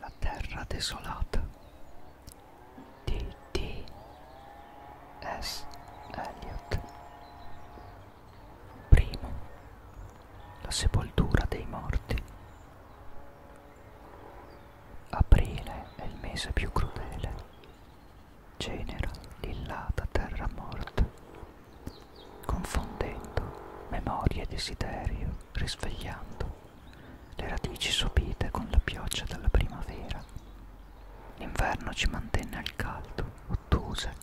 La terra desolata di D. S. Eliot Primo. La sepoltura dei morti Aprile è il mese più crudele, genera l'illata terra morta, confondendo memoria e desiderio, risvegliando le radici sopite con la pioggia della primavera. L'inverno ci mantenne al caldo, ottuse,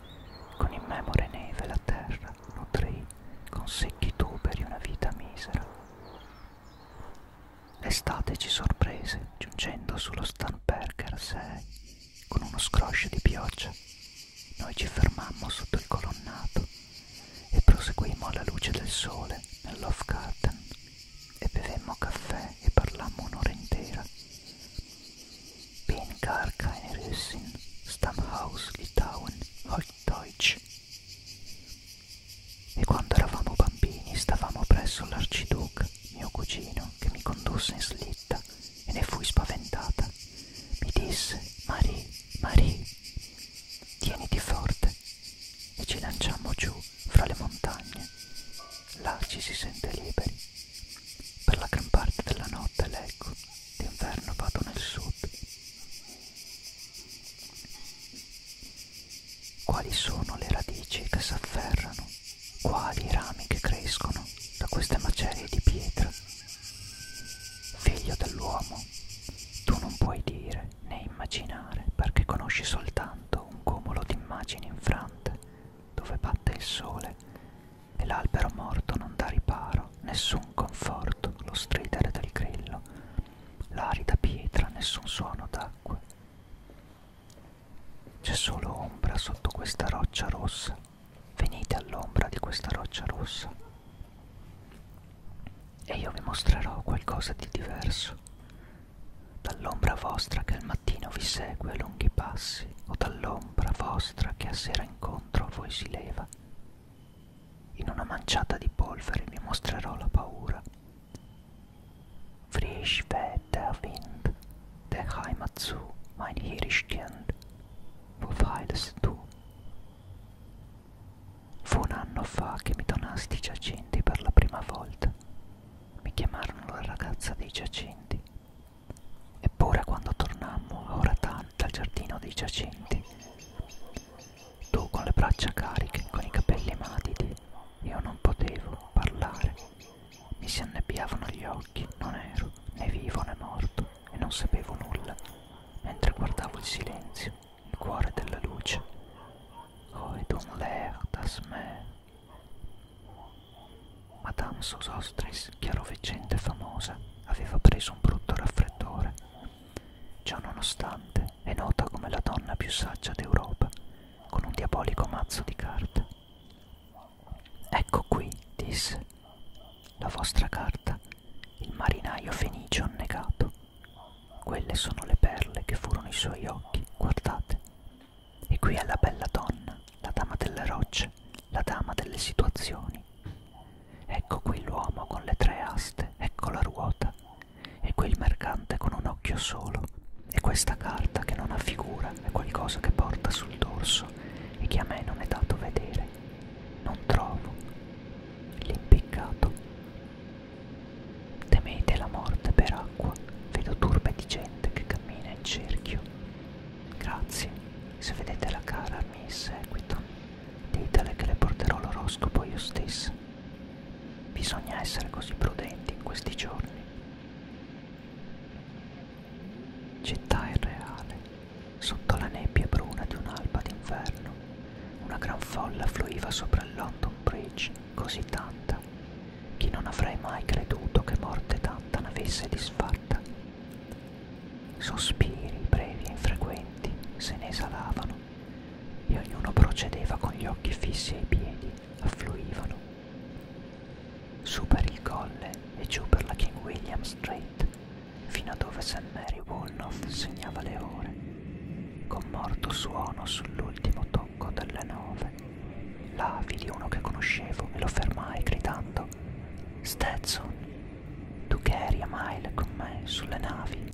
con immemore neve la terra nutrì con secchi tuberi una vita misera. L'estate ci sorprese, giungendo sullo Stanberger 6 con uno scroscio di pioggia. Noi ci fermammo sotto il colonnato e proseguimmo alla luce del sole nel Love Garden e bevemmo caffè e parlammo un'ora intera. Bin gar keine Rösin, Stammhaus Litauen, Plattdeutsch. E quando eravamo bambini stavamo presso l'arciduca, mio cugino, che mi condusse in slitta e ne fui spaventata. Mi disse, Marie, Marie, tieniti forte. E ci lanciammo giù fra le montagne. Là ci si sente liberi. Per la gran parte della notte leggo, d'inverno vado nel sud quali sono le radici che s'afferrano? Quali i rami che crescono da queste macerie di pietra? Figlio dell'uomo, tu non puoi dire né immaginare perché conosci soltanto un cumulo di immagini infrante dove batte il sole e l'albero morto non dà riparo, nessun conforto, lo stridere del grillo, l'arida pietra, nessun suono d'acqua. C'è solo ombra sotto questa roccia rossa, venite all'ombra di questa roccia rossa e io vi mostrerò qualcosa di diverso. Dall'ombra vostra che al mattino vi segue a lunghi passi, o dall'ombra vostra che a sera incontro a voi si leva, in una manciata di polvere vi mostrerò la paura. Frisch weht der Wind, der Heimat zu, mein Hirschkind, wo weidest tu? Fu un anno fa che mi donasti i giacinti per la prima volta. Mi chiamarono la ragazza dei giacinti. Eppure quando tornammo a Oratan dal giardino dei giacenti, tu con le braccia cariche, con i capelli matidi, io non potevo parlare. Mi si annebbiavano gli occhi, non ero né vivo né morto e non sapevo nulla, mentre guardavo il silenzio, il cuore della luce. Oh, et on l'air das mer. Madame Sosostris, chiaroveggente famosa, aveva preso un brutto raffreddore. Ciò nonostante è nota come la donna più saggia d'Europa, con un diabolico mazzo di carte. Ecco qui, disse, la vostra carta, il marinaio fenicio annegato. Quelle sono le perle che furono i suoi occhi, guardate. E qui è la bella donna, la dama delle rocce, la dama delle situazioni, Ecco qui l'uomo con le tre aste, ecco la ruota, e qui il mercante con un occhio solo, e questa carta che non ha figura è qualcosa che porta sul dorso e che a me non è dato vedere. Non trovo l'impiccato. Temete la morte per acqua, vedo turbe di gente che cammina in cerchio. Grazie, se vedete la cara mi seguito. Ditele che le porterò l'oroscopo io stessa. Bisogna essere così prudenti in questi giorni. Città irreale, sotto la nebbia bruna di un'alba d'inverno, una gran folla fluiva sopra il London Bridge, così tanta, che non avrei mai creduto che morte tanta n'avesse disfatta. Sospiri brevi e infrequenti se ne esalavano e ognuno procedeva con gli occhi fissi ai piedi, affluivano. Su per il colle e giù per la King William Street, fino a dove St. Mary Woolnoth segnava le ore, con morto suono sull'ultimo tocco delle nove. Là vidi uno che conoscevo e lo fermai gridando Stetson! Tu eri a mile con me sulle navi.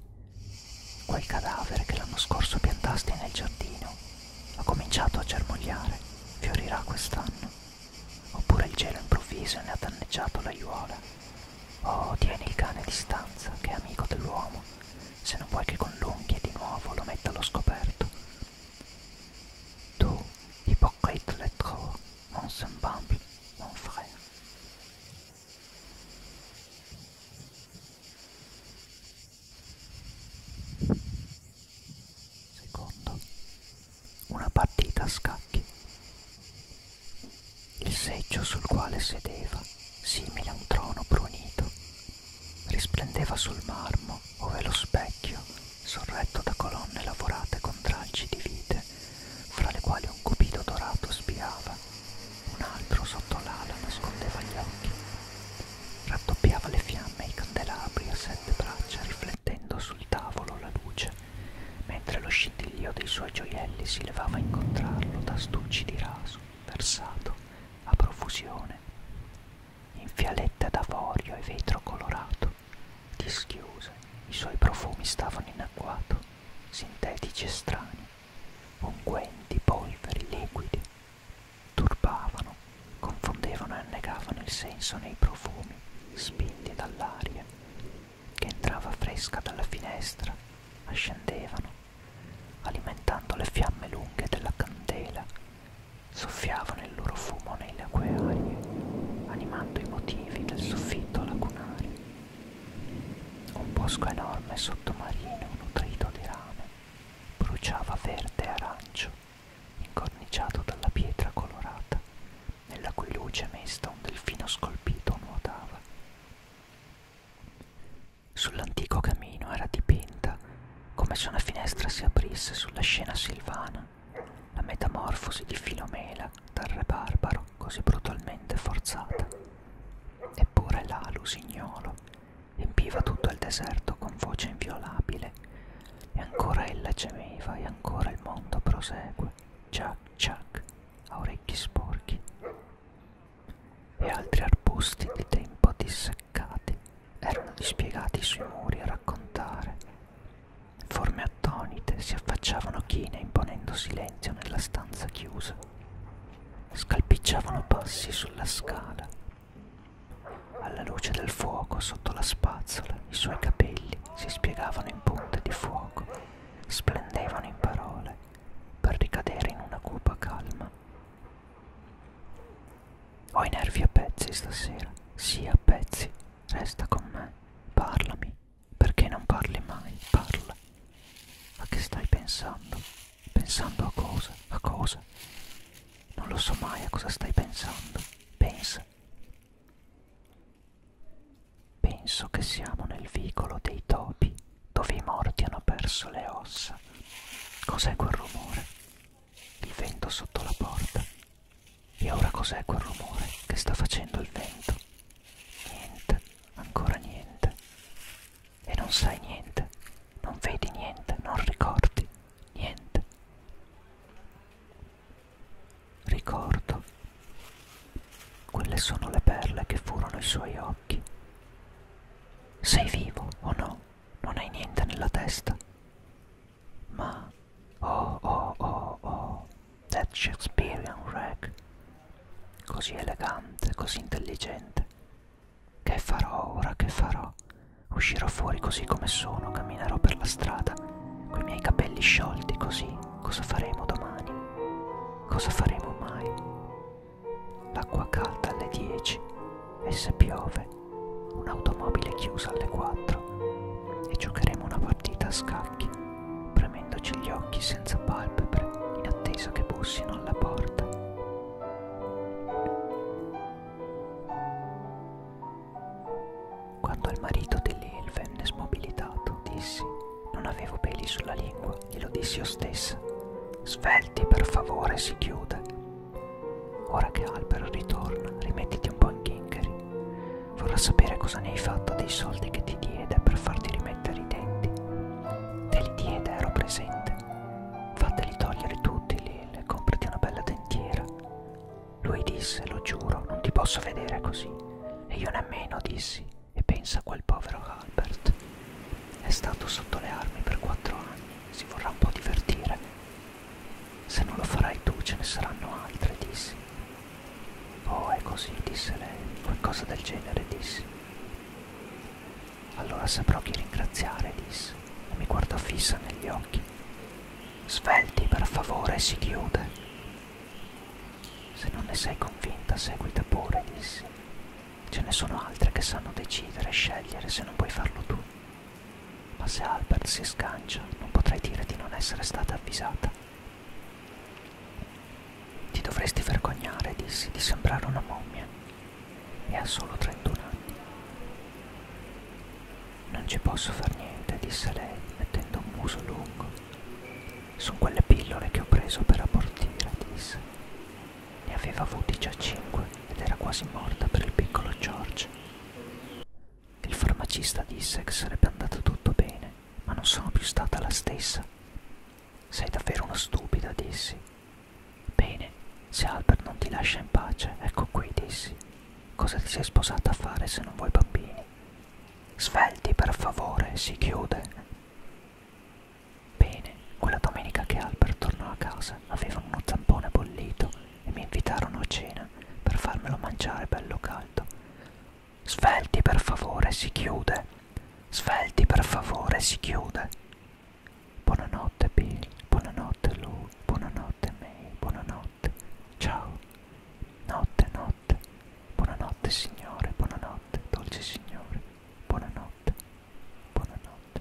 Quel cadavere che l'anno scorso piantasti nel giardino ha cominciato a germogliare, fiorirà quest'anno. Oppure il gelo improvviso ne ha danneggiato l'aiuola. Oh, tieni il cane a distanza, che è amico dell'uomo, se non vuoi che con l'unghie di nuovo lo metta allo scoperto. Tu, hypocrite lettrò, mon semblable, mon frère. Secondo, una partita a scacchi. Il seggio sul quale sedeva, simile a un trono brunito, risplendeva sul marmo ove lo specchio sorretto da colonne lavorate con tralci di vite, fra le quali un cupido dorato spiava, un altro sotto l'ala nascondeva gli occhi, raddoppiava le fiamme e i candelabri a sette braccia riflettendo sul tavolo la luce, mentre lo scintillio dei suoi gioielli si levava a incontrarlo da stucci di raso, versato, a profusione, in fialette d'avorio e vetro colorato Dischiuse, i suoi profumi stavano in agguato, sintetici e strani, unguenti, polveri, liquidi, turbavano, confondevano e annegavano il senso nei profumi, spinti dall'aria, che entrava fresca dalla finestra, ascendevano, alimentando le fiamme lunghe della candela, soffiavano diffondevano il loro fumo nelle acquearie, animando i motivi del soffitto lacunare. Un bosco enorme sottomarino nutrito di rame bruciava verde e arancio, incorniciato dalla pietra colorata, nella cui luce mesta un delfino scolpito nuotava. Sull'antico camino era dipinta, come se una finestra si aprisse sulla scena silvana, la metamorfosi di Filomela dal re barbaro così brutalmente forzata. Eppure là l'usignolo empiva tutto il deserto con voce inviolabile, e ancora ella gemeva e ancora il mondo prosegue, ciac ciac, a orecchi sporchi. E altri arbusti di tempo disseccati erano dispiegati sui muri a raccontare Forme attonite si affacciavano chine imponendo silenzio nella stanza chiusa. Scalpicciavano passi sulla scala. Alla luce del fuoco sotto la spazzola i suoi capelli si spiegavano in punte di fuoco, splendevano in parole per ricadere in una cupa calma. Ho i nervi a pezzi stasera, sì a pezzi, Resta con me, parlami, perché non parli mai, parla. A che stai pensando? Pensando a cosa? A cosa? Non lo so mai a cosa stai pensando. Pensa. Penso che siamo nel vicolo dei topi, dove i morti hanno perso le ossa. Cos'è quel rumore? Il vento sotto la porta. E ora cos'è quel rumore che sta facendo il vento? Niente, ancora niente. E non sai niente, non vedi niente, non ricordi niente. Ricordo. Quelle sono le perle che furono i suoi occhi. Sei vivo o no? Non hai niente nella testa. Ma oh oh oh oh, that Shakespearean rag, così elegante, così intelligente. Che farò ora, che farò? Uscirò fuori così come sono, camminerò per la strada, coi miei capelli sciolti così, cosa faremo domani? Cosa faremo mai? L'acqua calda alle 10 e se piove un'automobile chiusa alle 4 e giocheremo una partita a scacchi, premendoci gli occhi senza palpebre in attesa che bussino alla porta. Quando il marito dell'El venne smobilitato, dissi, non avevo peli sulla lingua, glielo dissi io stessa. Svelti, per favore, si chiude. Ora che Albert ritorna, rimettiti un po' in chincheri. Vorrà sapere cosa ne hai fatto dei soldi che ti diede per farti rimettere i denti. Te li diede, ero presente. Fateli togliere tutti, Lil, comprati una bella dentiera. Lui disse, lo giuro, non ti posso vedere così. E io nemmeno dissi, e pensa a quel povero Albert. È stato sotto le armi per quattro anni, si vorrà un po' divertire. Se non lo farai tu ce ne saranno altre, dissi. Oh, è così, disse lei, qualcosa del genere, dissi. Allora saprò chi ringraziare, disse, e mi guardò fissa negli occhi. Svelti, per favore, si chiude. Se non ne sei convinta, seguita pure, dissi. Ce ne sono altre che sanno decidere e scegliere se non puoi farlo tu. Ma se Albert si scancia, non potrai dire di non essere stata avvisata. Ti dovresti vergognare, dissi, di sembrare una mommia. E ha solo 31 anni. Non ci posso far niente, disse lei, mettendo un muso lungo. Sono quelle pillole che ho preso per abortire, disse. Ne aveva avuti già cinque ed era quasi morta per il piccolo George. Il farmacista disse che sarebbe andato tutto bene, ma non sono più stata la stessa. Sei davvero una stupida, dissi. Bene, se Albert non ti lascia in pace, ecco qui, dissi. Cosa ti sei sposata a fare se non vuoi bambini? Svelti, per favore, si chiude. Bene, quella domenica che Albert tornò a casa aveva uno zampone bollito e mi invitarono a cena per farmelo mangiare bello caldo. Svelti per favore, si chiude. Svelti per favore, si chiude. Buonanotte Bill, buonanotte Lou, buonanotte May, buonanotte. Ciao. Notte, notte. Buonanotte signore, buonanotte, dolce signore. Buonanotte. Buonanotte.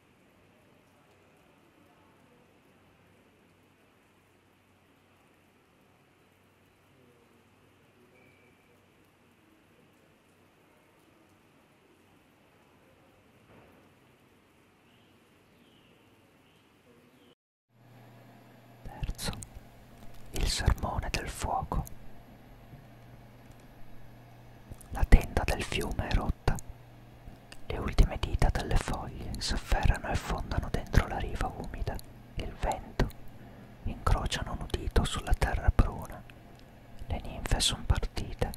Terzo, il sermone del fuoco. La tenda del fiume era rotta. Le ultime dita delle foglie s'afferrano e fondano dentro la riva umida. Il vento incrociano un udito sulla terra bruna. Le ninfe son partite.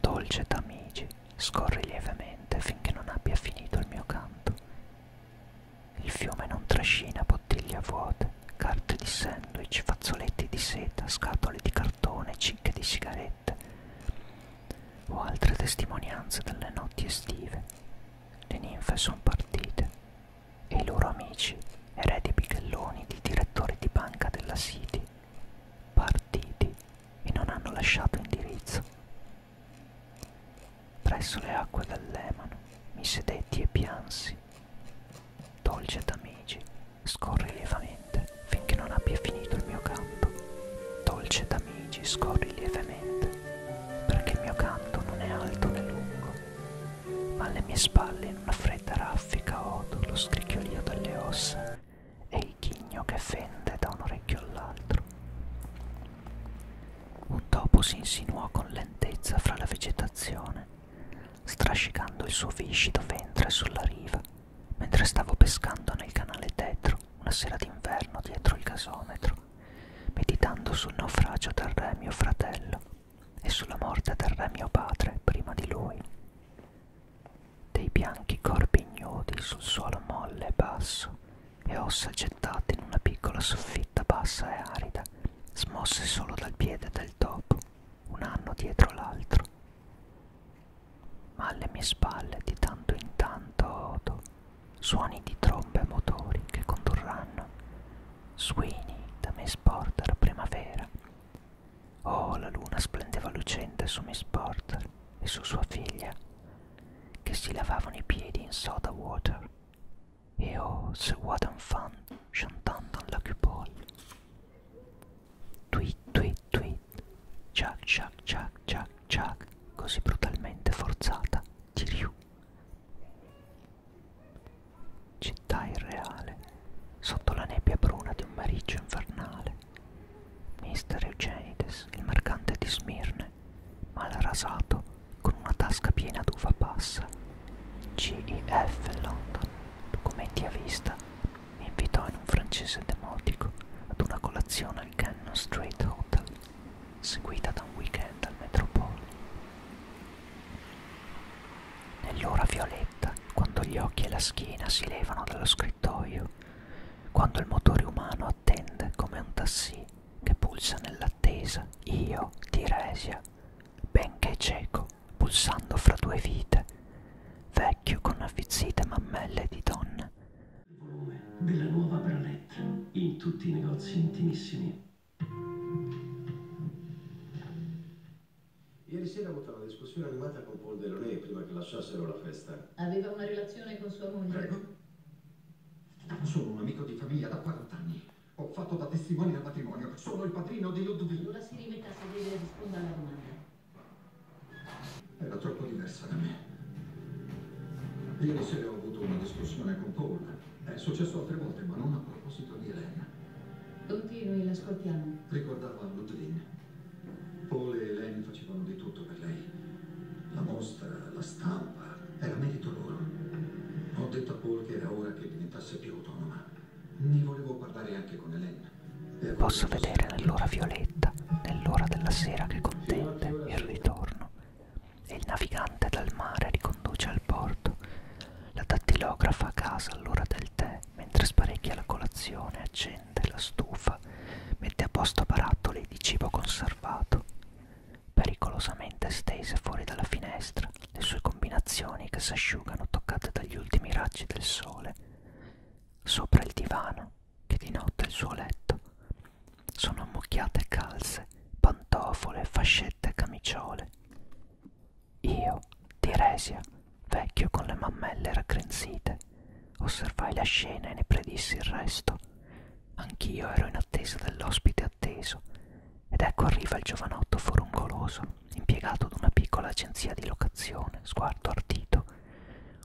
Dolce d'amici, scorri lievemente finché non abbia finito il mio canto. Il fiume non trascina bottiglie vuote, carte di sandwich, fazzoletti di seta, scatole di cartone, cicche di sigarette o altre testimonianze delle notti estive. Le ninfe sono partite e i loro amici, eredi bighelloni di direttori di banca della City, partiti e non hanno lasciato indirizzo. Presso le acque del Lemano mi sedetti e piansi. Dolce d'amici, Scorri lievemente finché non abbia finito il mio canto. Dolce d'amici, scorri lievemente, perché il mio canto non è alto né lungo, ma alle mie spalle in una fredda raffica odo lo scricchiolio delle ossa e il ghigno che fende da un orecchio all'altro. Un topo si insinuò con lentezza fra la vegetazione, strascicando il suo viscido ventre sulla riva mentre stavo pescando nel canale tetro una sera d'inverno dietro il gasometro, meditando sul naufragio del re mio fratello e sulla morte del re mio padre prima di lui. Dei bianchi corpi ignudi sul suolo molle e basso e ossa gettate in una piccola soffitta bassa e arida, smosse solo dal piede del topo, un anno dietro l'altro ma alle mie spalle di tanto in tanto odo suoni di trombe e motori che condurranno suini da Miss Porter a primavera. Oh, la luna splendeva lucente su Miss Porter e su sua figlia, che si lavavano i piedi in soda water. Et oh, ce Waden Fan chantando en la cupole. Tweet, tweet, tweet. Chuck, chuck, chuck, chuck, chuck. Così brutalmente forzata di Ryu. Città irreale, sotto la nebbia bruna di un mariggio infernale. Mister Eugenides, il mercante di Smirne, mal rasato con una tasca piena d'uva passa. GEF London, documenti a vista, mi invitò in un francese demotico ad una colazione al Cannon Street Hotel, seguita da un weekend al Metropole. Nell'ora violetta, quando gli occhi e la schiena si levano dallo scrittoio, quando il motore umano attende come un tassì che pulsa nell'attesa, io, Tiresia, benché cieco, pulsando fra due vite, vecchio con affizzite mammelle di donna. Il volume della nuova bralette in tutti i negozi intimissimi. Ieri sera ho avuto una discussione animata con Paul Deloney prima che lasciassero la festa. Aveva una relazione con sua moglie? Prego. Sono un amico di famiglia da 40 anni. Ho fatto da testimone al matrimonio. Sono il padrino di Ludwig. Allora si rimetta a sedere e risponda alla domanda. Era troppo diversa da me. Ieri sera ho avuto una discussione con Paul. È successo altre volte, ma non a proposito di Elena. Continui, l'ascoltiamo. Ricordava Ludwin. Paul e Elena facevano di tutto per lei. La mostra, la stampa, era merito loro. Ho detto a Paul che era ora che diventasse più autonoma. Ne volevo parlare anche con Elena. Posso vedere nell'ora violetta, nell'ora della sera che contende il ritorno. E il navigante dal mare riconduce al porto. La dattilografa a casa all'ora del tè, mentre sparecchia la colazione, accende la stufa, mette a posto barattoli di cibo conservato. Pericolosamente stese fuori dalla finestra le sue combinazioni che s'asciugano toccate dagli ultimi raggi del sole sopra il divano che di notte è il suo letto. Sono ammucchiate calze, pantofole, fascette e camiciole. Io, Tiresia, vecchio con le mammelle raccrenzite, osservai la scena e ne predissi il resto. Anch'io ero in attesa dell'ospite atteso, ed ecco arriva il giovanotto forungoloso impiegato ad una piccola agenzia di locazione, sguardo ardito,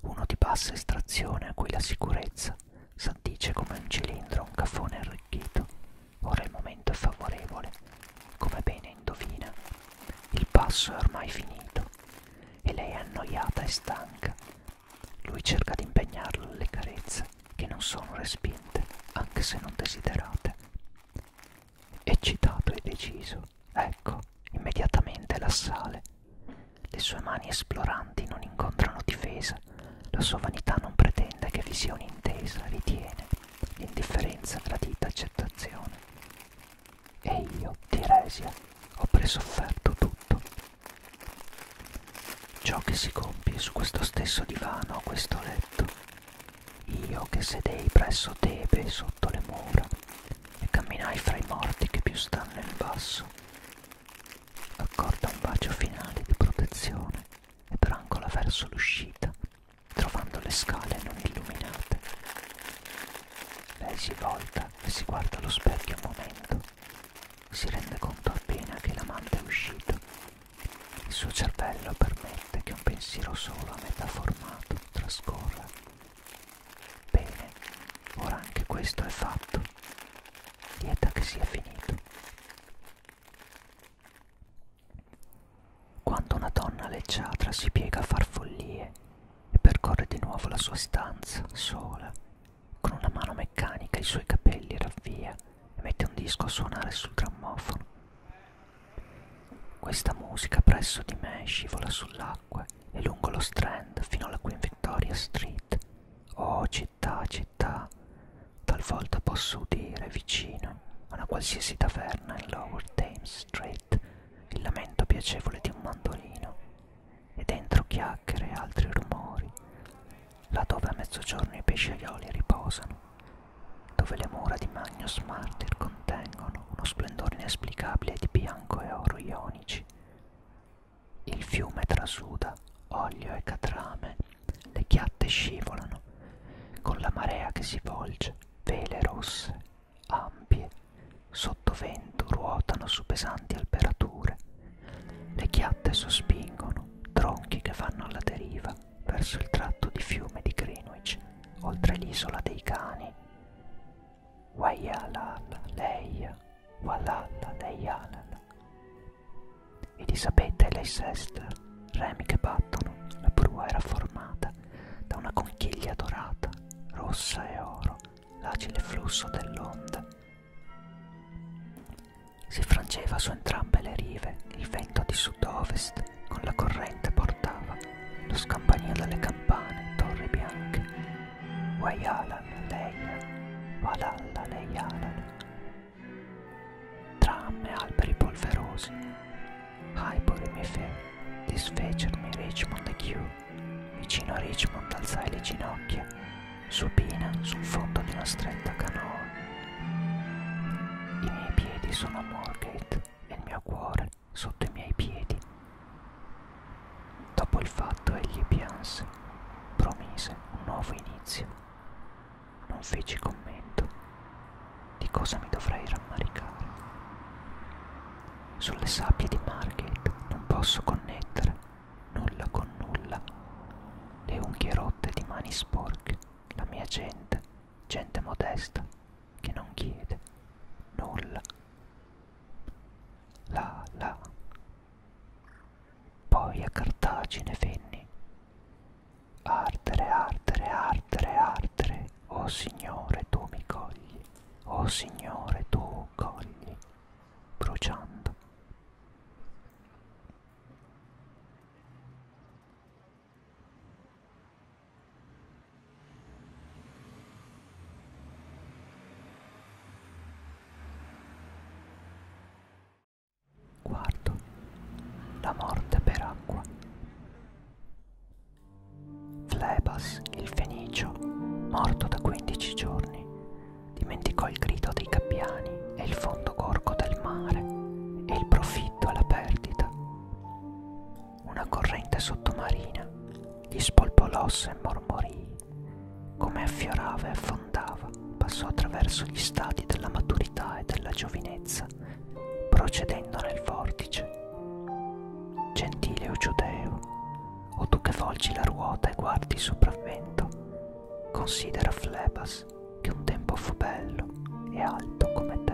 uno di bassa estrazione a cui la sicurezza s'addice come un cilindro a un caffone arricchito. Ora il momento è favorevole, come bene indovina. Il passo è ormai finito e lei è annoiata e stanca. Lui cerca di impegnarlo alle carezze che non sono respinte, anche se non desiderate eccitato e deciso. Ecco, immediatamente l'assale. Le sue mani esploranti non incontrano difesa, la sua vanità non pretende che vi sia un'intesa, ritiene l'indifferenza gradita accettazione. E io, Tiresia, ho presofferto tutto. Ciò che si compie su questo stesso divano, a questo letto, io che sedei presso Tebe sotto le mura, e camminai fra i morti che più stanno nel basso. Accorda un bacio finale di protezione e brancola verso l'uscita, trovando le scale non illuminate. Lei si volta e si guarda allo specchio un momento. Si rende conto appena che l'amante è uscito. Il suo cervello permette che un pensiero solo a metà formato trascorra Bene, ora anche questo è fatto. Dieta che sia finito. Quando una donna leggiadra si piega a far follie e percorre di nuovo la sua stanza, sola, con una mano meccanica i suoi capelli ravvia e mette un disco a suonare sul grammofono, questa musica presso di me scivola sull'acqua e lungo lo strand fino alla Queen Victoria Street. Oh città, città, talvolta posso udire vicino a una qualsiasi taverna in Lower Thames Street il lamento piacevole di un mandolino e dentro chiacchiere e altri rumori, laddove a mezzogiorno i pesciaioli riposano, dove le mura di Magnus Martyr con contengono uno splendore inesplicabile di bianco e oro ionici. Il fiume trasuda olio e catrame, le chiatte scivolano, con la marea che si volge, vele rosse, ampie, sotto vento ruotano su pesanti alberature, le chiatte sospingono, tronchi che fanno alla deriva verso il tratto di fiume di Greenwich, oltre l'isola dei cani, Wayalala leia, walala leialala. Elisabetta e Leicester, remi che battono, la prua era formata da una conchiglia dorata, rossa e oro, l'agile flusso dell'onda. Si frangeva su entrambe le rive il vento di sud-ovest con la corrente portata portava, lo scampanio dalle campane, torri bianche. Wayalan, Leia, Valhalla, Leialan. Tram e alberi polverosi, Highbury mi fe, disfecermi Richmond e Kew, vicino a Richmond alzai le ginocchia, supina sul fondo di una stretta canoa. I miei piedi sono a Moorgate e il mio cuore sotto i miei piedi. Dopo il fatto egli pianse, promise un nuovo inizio. Non feci commento. Di cosa mi dovrei rammaricare? Sulle sabbie di Margate non posso connettere nulla con nulla. Le unghie rotte di mani sporche, la mia gente, gente modesta che non chiede nulla. Là, là. Poi a Cartagine venni. Ardere, ardere, ardere, ardere, o oh, Signore tu mi cogli, o oh, Signore tu cogli, bruciando. Quarto, la morte per acqua. Flebas, il fenicio, morto da 15 giorni, dimenticò il grido dei gabbiani e il fondo gorgo del mare e il profitto alla perdita una corrente sottomarina gli spolpolosse e mormorì. Come affiorava e affondava, passò attraverso gli stadi della maturità e della giovinezza, procedendo nel vortice. Gentile o giudeo, o tu che volgi la ruota e guardi il sopravvento, considera Flebas che un tempo fu bello e alto come te.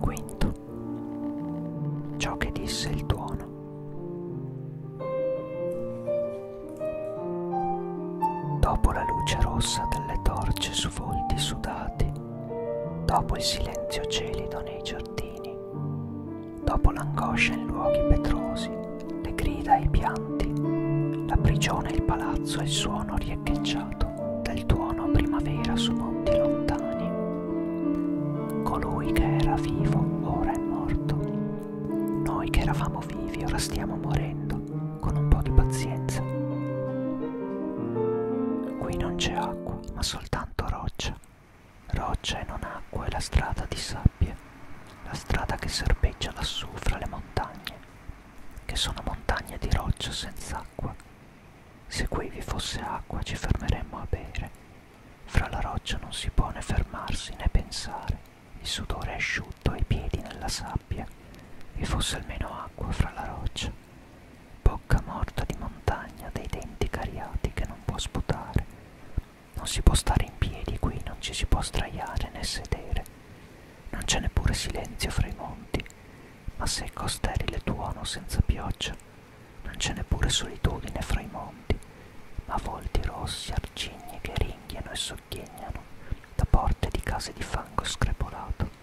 Quinto, ciò che disse il tuono. Dopo la luce rossa delle torce su volti sudati, dopo il silenzio gelido nei giardini, dopo l'angoscia in luoghi petrosi, le grida e i pianti, la prigione e il palazzo e il suono riecheggiato del tuono primavera su monti lontani. Colui che era vivo ora è morto. Noi che eravamo vivi ora stiamo morendo con un po' di pazienza. Qui non c'è acqua, ma soltanto roccia. Roccia e non acqua è la strada di sabbie, la strada che serpeggia lassù fra le montagne, che sono montagne di roccia senza acqua. Se qui vi fosse acqua ci fermeremmo a bere. Fra la roccia non si può né fermarsi né pensare. Il sudore è asciutto ai piedi nella sabbia. Vi fosse almeno acqua fra la roccia bocca morta di montagna dei denti cariati che non può sputare. Non si può stare in piedi qui, non ci si può straiare né sedere. Non c'è neppure silenzio fra i monti, ma secco sterile tuono senza pioggia. Non c'è neppure solitudine fra i monti, ma volti rossi, arcigni che ringhiano e sogghignano da porte di case di fango screpolato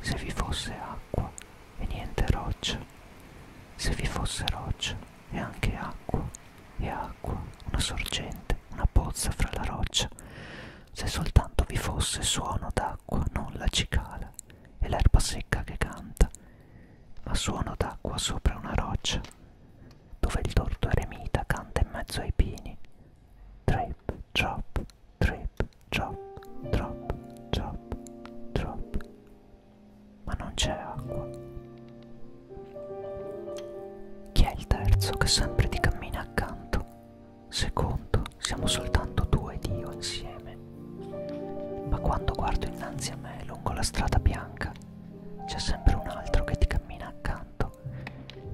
se vi fosse acqua e niente roccia, se vi fosse roccia e anche acqua e acqua, una sorgente, una pozza fra la roccia, se soltanto vi fosse suono d'acqua, non la cicala e l'erba secca che canta, ma suono d'acqua sopra una roccia, dove il torto eremita canta in mezzo ai pini, drip, drop, Trip, drop, drop, drop, drop. Ma non c'è acqua. Chi è il terzo che sempre ti cammina accanto? Secondo, siamo soltanto tu ed io insieme. Ma quando guardo innanzi a me lungo la strada bianca, c'è sempre un altro che ti cammina accanto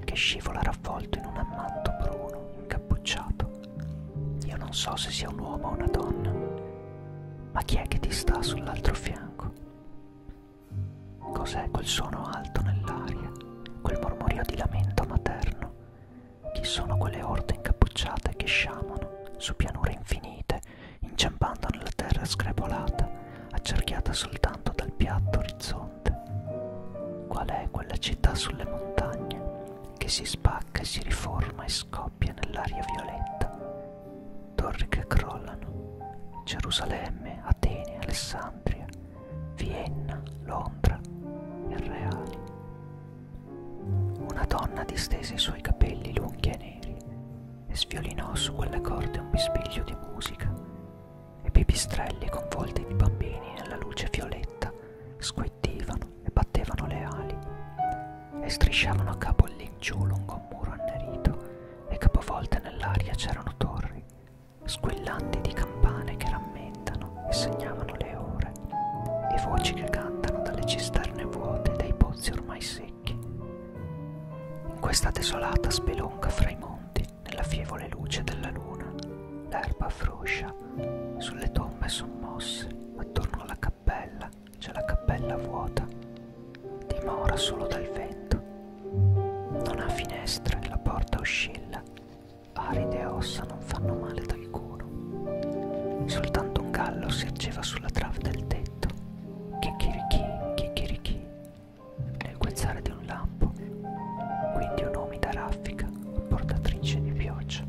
che scivola raffolto in un ammanto bruno, incappucciato. Io non so se sia un uomo o una donna, ma chi è che ti sta sull'altro fianco? Cos'è quel suono alto nell'aria, quel mormorio di lamento materno? Chi sono quelle orde incappucciate che sciamano su pianure infinite, inciampando nella terra screpolata, accerchiata soltanto dal piatto orizzonte? orizzonte. Qual è quella città sulle montagne che si spacca e si riforma e scoppia nell'aria violetta? Torri che crollano, Gerusalemme, Atene, Alessandria, Vienna, Londra e Reali. Una donna distese i suoi capelli lunghi e neri e sviolinò su quelle corde un bisbiglio di musica e pipistrelli convolti di bambini nella luce violetta squittivano e battevano le ali e strisciavano a capo all'ingiù lungo un muro annerito e capovolte nell'aria c'erano torri, squillanti di campane che rammentano e segnavano le ore e voci che cantano dalle cisterne vuote e dai pozzi ormai secchi. In questa desolata spelonca fra i monti nell'affievole luce della luna, l'erba froscia, sulle tombe sommosse, attorno alla cappella c'è la cappella vuota, dimora solo dal vento. Non ha finestre, la porta oscilla, aride ossa non fanno male ad alcuno. Soltanto un gallo si acceva sulla trave del tetto, chicchirichì, chicchirichì, nel guezzare di un lampo, quindi un'umida raffica portatrice di pioggia.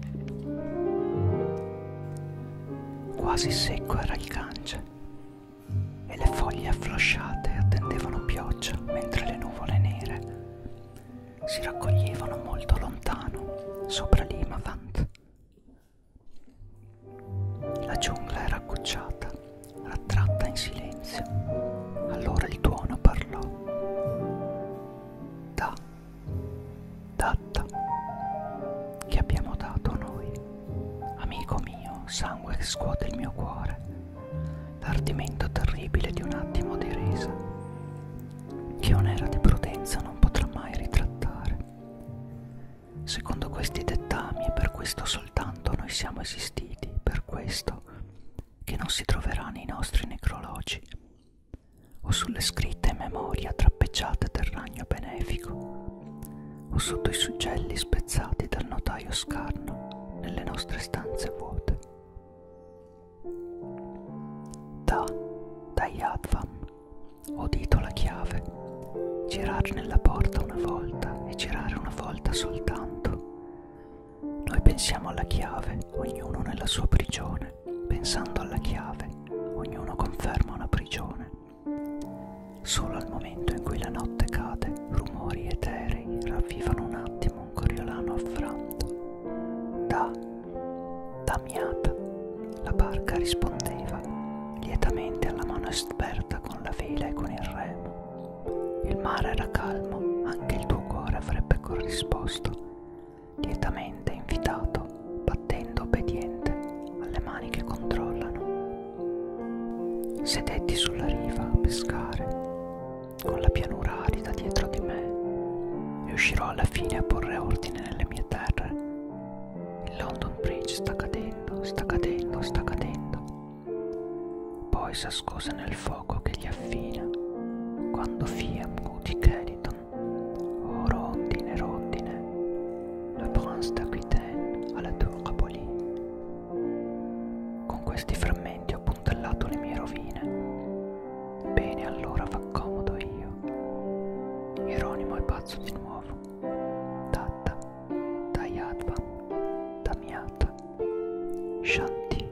Quasi secco era il cance e le foglie afflosciate attendevano pioggia mentre le nuvole nere si raccoglievano molto lontano sopra l'Imavant. La giungla era accucciata, rattratta in silenzio. Allora il tuono parlò da datta che abbiamo dato noi amico mio sangue che scuote il mio cuore l'ardimento terribile di un attimo di risa che un'era di prudenza non potrà mai ritrattare secondo questi dettami e per questo soltanto noi siamo esistiti per questo che non si troverà nei nostri necrologi o sulle scritte memoria trappeggiate del ragno benefico o sotto i suggelli spezzati dal notaio scarno nelle nostre stanze vuote. Da, da Yadvam, udito la chiave, girare nella porta una volta e girare una volta soltanto noi pensiamo alla chiave, ognuno nella sua prigione. Pensando alla chiave, ognuno conferma una prigione. Solo al momento in cui la notte cade, rumori eterei ravvivano un attimo un coriolano affranto. Da, damiata, la barca rispondeva lietamente alla mano esperta con la vela e con il remo. Il mare era calmo, anche il tuo cuore avrebbe corrisposto, lietamente invitato, battendo obbediente alle mani che controllano. Sedetti sulla riva a pescare, con la pianura arida dietro di me, riuscirò alla fine a porre ordine nelle mie terre. Il London Bridge sta cadendo, sta cadendo, sta cadendo. Poi s'ascosa nel fuoco che gli affina, quando fia muti Cariton, o rondine rondine, le prince d'Aquitaine alla tour Capoli. Con questi frammenti ho puntellato le mie rovine. Bene, allora va comodo io. Ironimo è pazzo di nuovo. Tatta, Tayatva, Damiata, Shanti.